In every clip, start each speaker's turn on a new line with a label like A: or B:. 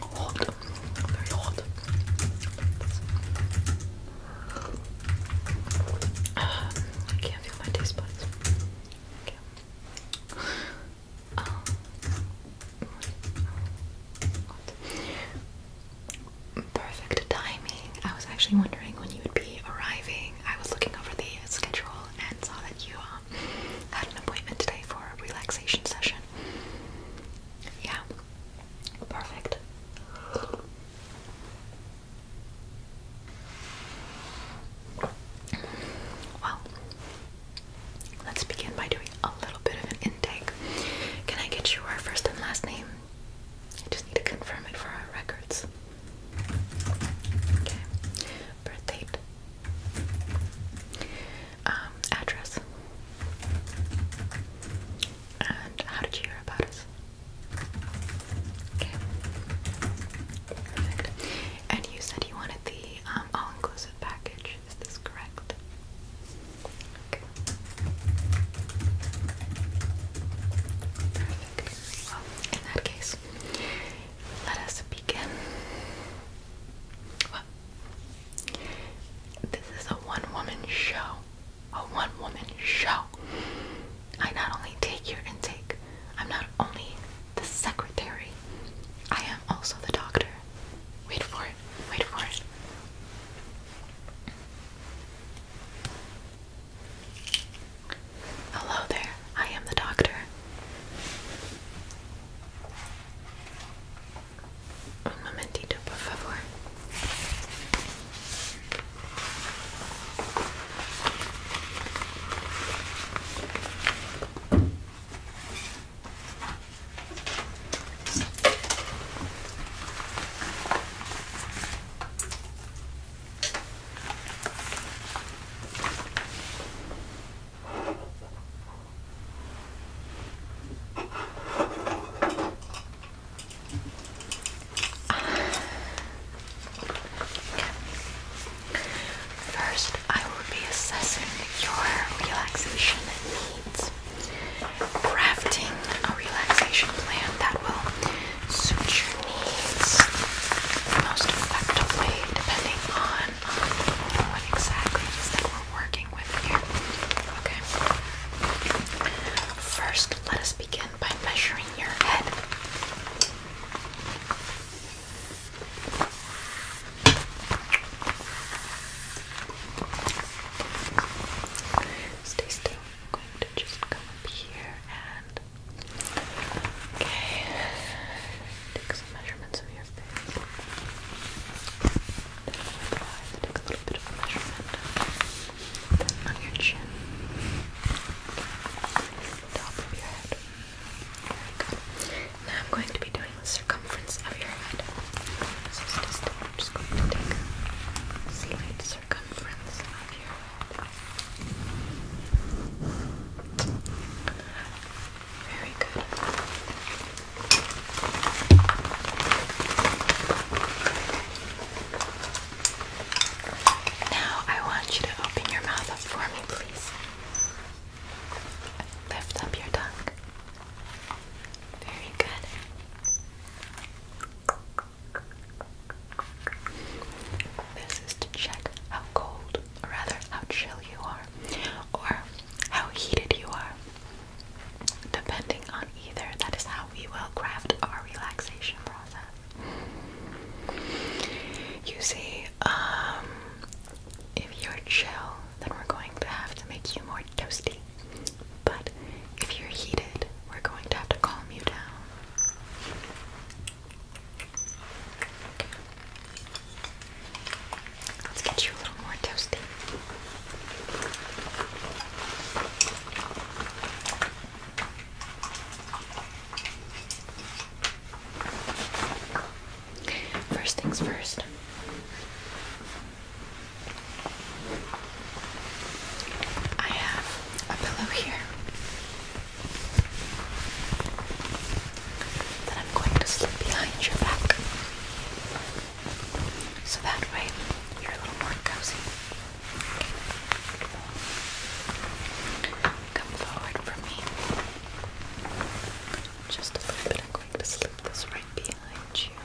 A: Hot, very hot. I can't feel my taste buds. Um, Perfect timing. I was actually wondering when you would be arriving. I was looking over the schedule and saw that you um, had an appointment today for a relaxation session. Yeah, perfect. Well, let's begin by doing a little bit of intake. Can I get your first and last name? I just need to confirm it for our records. Okay. Birth date. Um, address. And how did you hear about us? Okay. Perfect. And you said you wanted the um, all-inclusive package. Is this correct? in that case, let us begin. This is a one-woman show. A one-woman show. I not only take your intake, I'm not only the secretary, I am also the doctor. Wait for it, wait for it. Hello there, I am the doctor. Un momentito, por favor. First, I will be assessing your relaxation needs crafting a relaxation plan that will suit your needs most effectively, depending on um, what exactly we're working with here. Okay. First, let us begin by measuring your head. Stay still. I'm going to just come up here and take some measurements of your face. Then with your eyes, take a little bit of a measurement. on your chin, top of your head. Now I'm going to be doing the circumference of your head. So just, just a slight very good. Now I want you to open your mouth up for me, please. Lift up your tongue. Very good. This is to check how cold, or rather how chill you are, or how heated you are. Depending on either, that is how we will craft our relaxation process. You see, um, if you're chill, then we're going to have to make you more toasty. But if you're heated, we're going to have to calm you down. Let's get you a little more toasty. First things first, I have a pillow here that I'm going to slip behind your back so that way you're a little more cozy. Come forward for me. Just a little bit. I'm going to slip this right behind you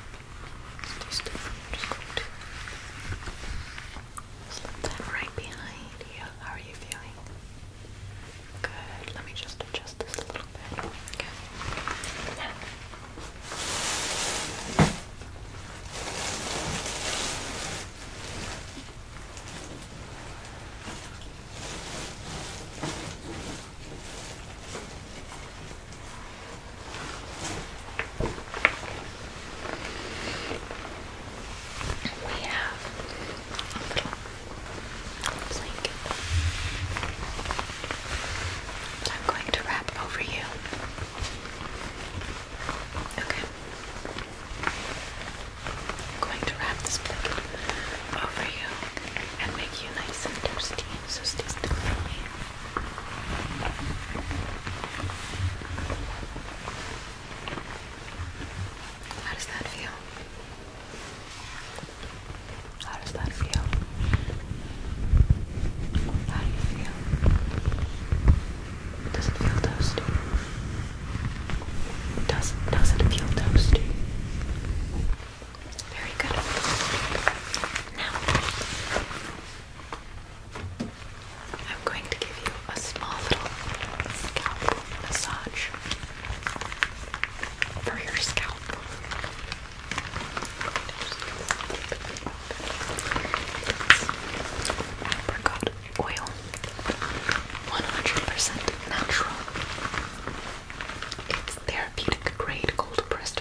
A: just right behind you. How are you feeling? Good. Let me just adjust this a little bit. Okay. We have a little blanket I'm going to wrap over you. Okay. going to wrap this blanket over you and make you nice and toasty. So stay still for me. How does that feel? How does that feel? How do you feel? Does it feel toasty? Does, does it feel toasty? Very good. Now, I'm going to give you a small little scalp massage for your scalp. Apricot oil, 100 natural. It's therapeutic grade cold pressed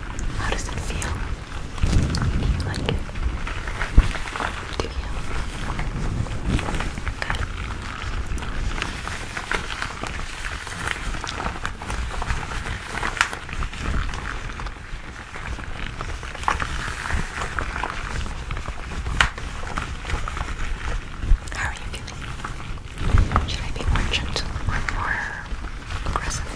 A: How does it feel? like it? Do you? Good. How are you feeling? Should I be more or more aggressive?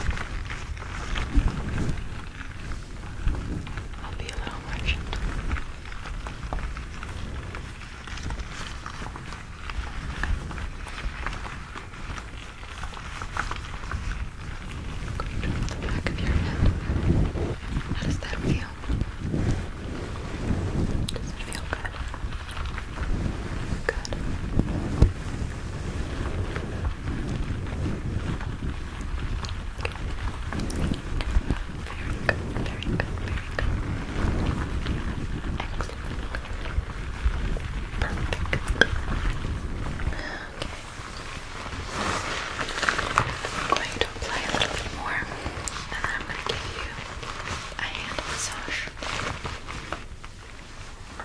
A: I'll be a little more Going down the back of your head. How does that feel? Does it feel good? Good. Very good, very good, very good. Excellent. Perfect. I'm going to apply a little bit more, and then I'm going to give you a hand massage.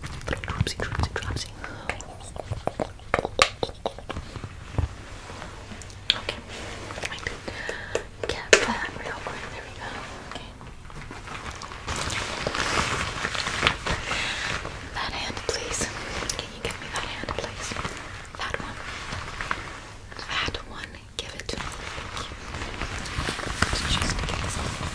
A: Little dropsy, dropsy, dropsy. Okay, I can get that real quick. There we go. Okay. That hand, please. Can you give me that hand, please? That one. That one. Give it to me. Thank you. Let's just get this off.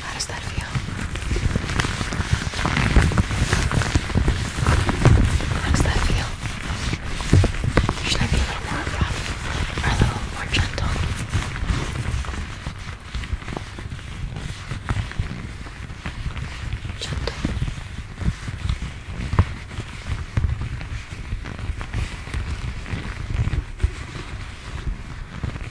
A: How does that feel? How does that feel? Should I be a little more abrupt or a little more Gentle. Gentle.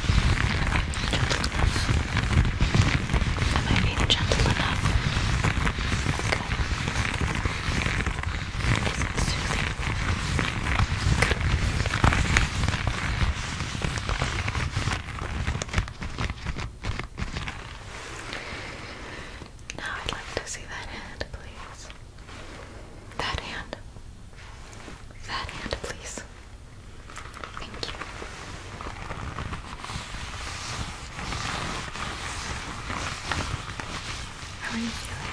A: Am I being gentle enough? Good. Is it soothing? Now I'd like to see that hand, please. That hand. That hand, please. Thank you. How are you feeling?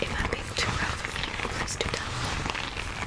A: If i being too rough please do tell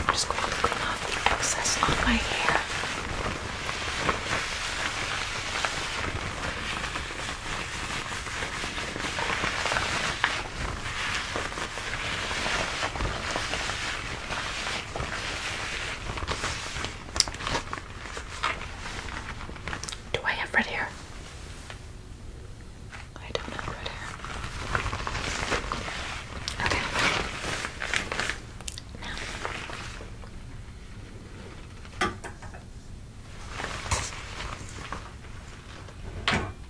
A: I'm just going to clean off the excess on my hair. Do I have red hair? I don't have red hair. Okay. Now.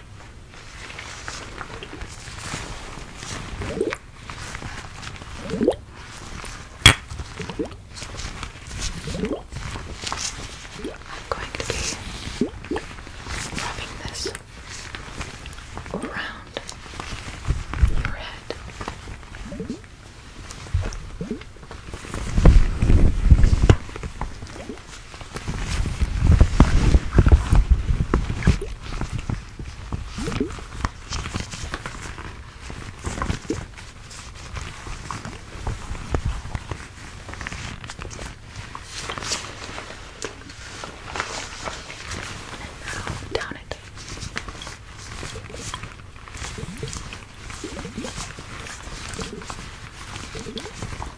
A: I'm going to be rubbing this around your head. Good. And now down it. Down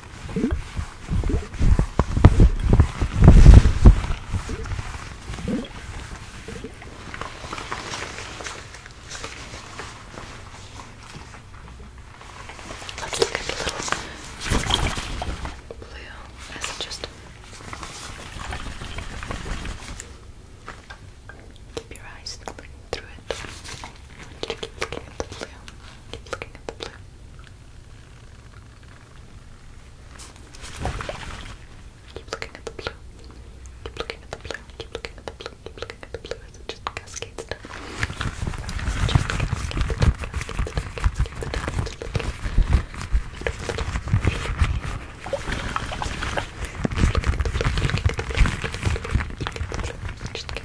A: Let's look at the little blue as it just keep your eyes looking through it. I want you to keep looking at the blue. Keep looking at the blue. Keep looking at the blue. Keep looking at the blue. Keep looking at the blue. Keep looking at the blue as it just cascades down. As it just cascades down, cascades down, cascades down. It's looking beautiful. Keep looking at the blue. Keep looking at the blue. Keep looking at the blue. Keep looking at the blue. Just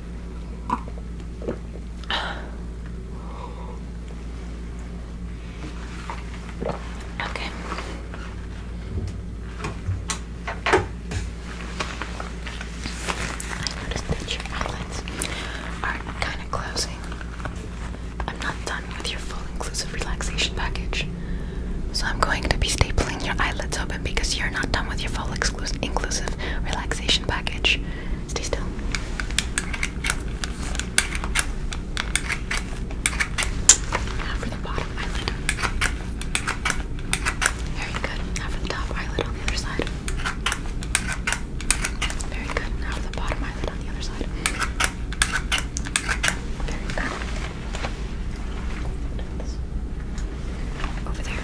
A: Okay. I noticed that your outlines are kind of closing. I'm not done with your full inclusive relaxation package. So I'm going to be stapling your eyelids open because you're not done with your full exclusive inclusive relaxation package. Stay still. Now for the bottom eyelid. Very good. Now for the top eyelid on the other side. Very good. Now for the bottom eyelid on the other side. Very good. Over there.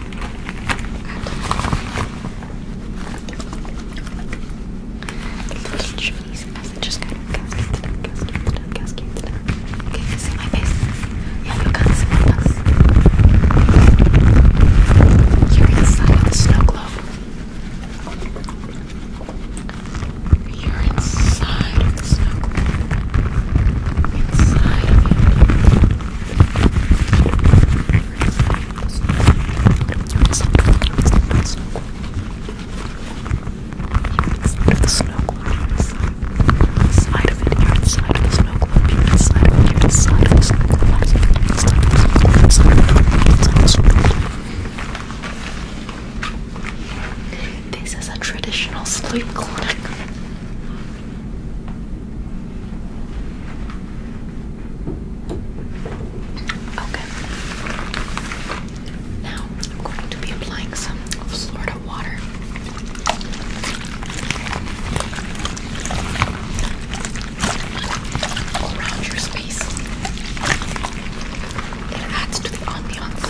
A: The little chimneys as they just kind of cascade down, cascade down, cascade down. Okay, you see my face? Yeah, you can't see my face. You're inside of the snow globe. You're inside of the snow globe. Inside of you. This is a traditional sleep clinic. Okay. Now I'm going to be applying some Florida water. Around your space, it adds to the ambiance.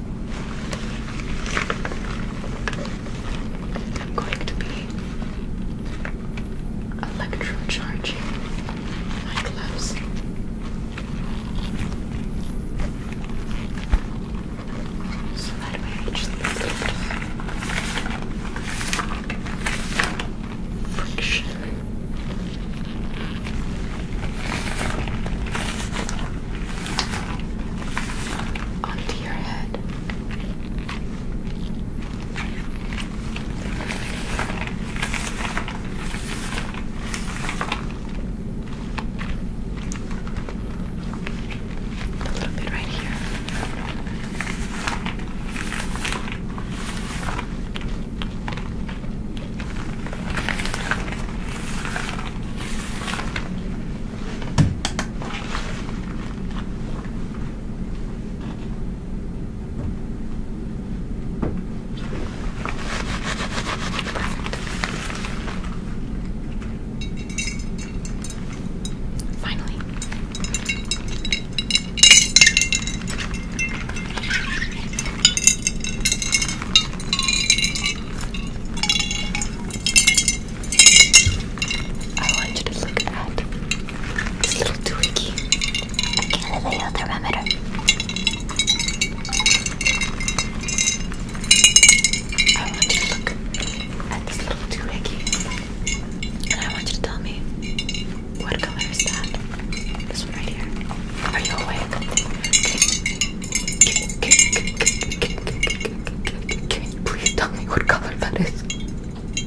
A: I'm going to be electrocharging my gloves. So friction onto your head. A little bit right here. Finally. I want you to look at this little twiggy. I can thermometer. I want you to look at this little twiggy. And I want you to tell me what color is that? This one right here. Are you awake? Can you please tell me what color that is?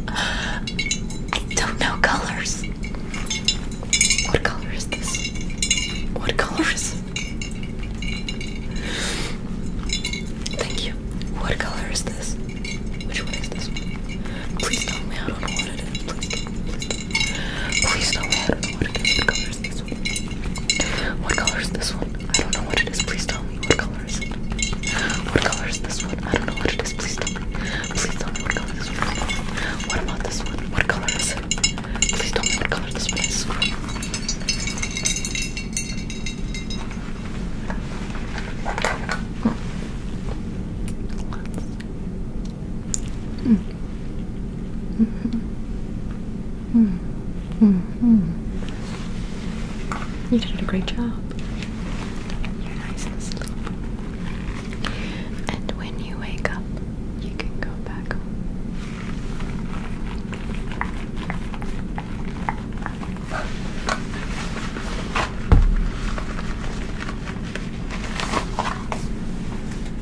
A: I don't colors. What color is this? What color is Thank you. What color is this? Which one is this? Please tell me I don't know what it is. Please, please, please tell me I don't know what it is. What color is this? this one? What color is this one? I don't know what it is. Please tell me what color is it. What color is this one? I don't know what it is. Please tell me. Please tell me what color this one is. What about this one? What color is it? Please tell me what color this one is. Hmm. Mm -hmm. You did a great job. You're nice And when you wake up, you can go back home.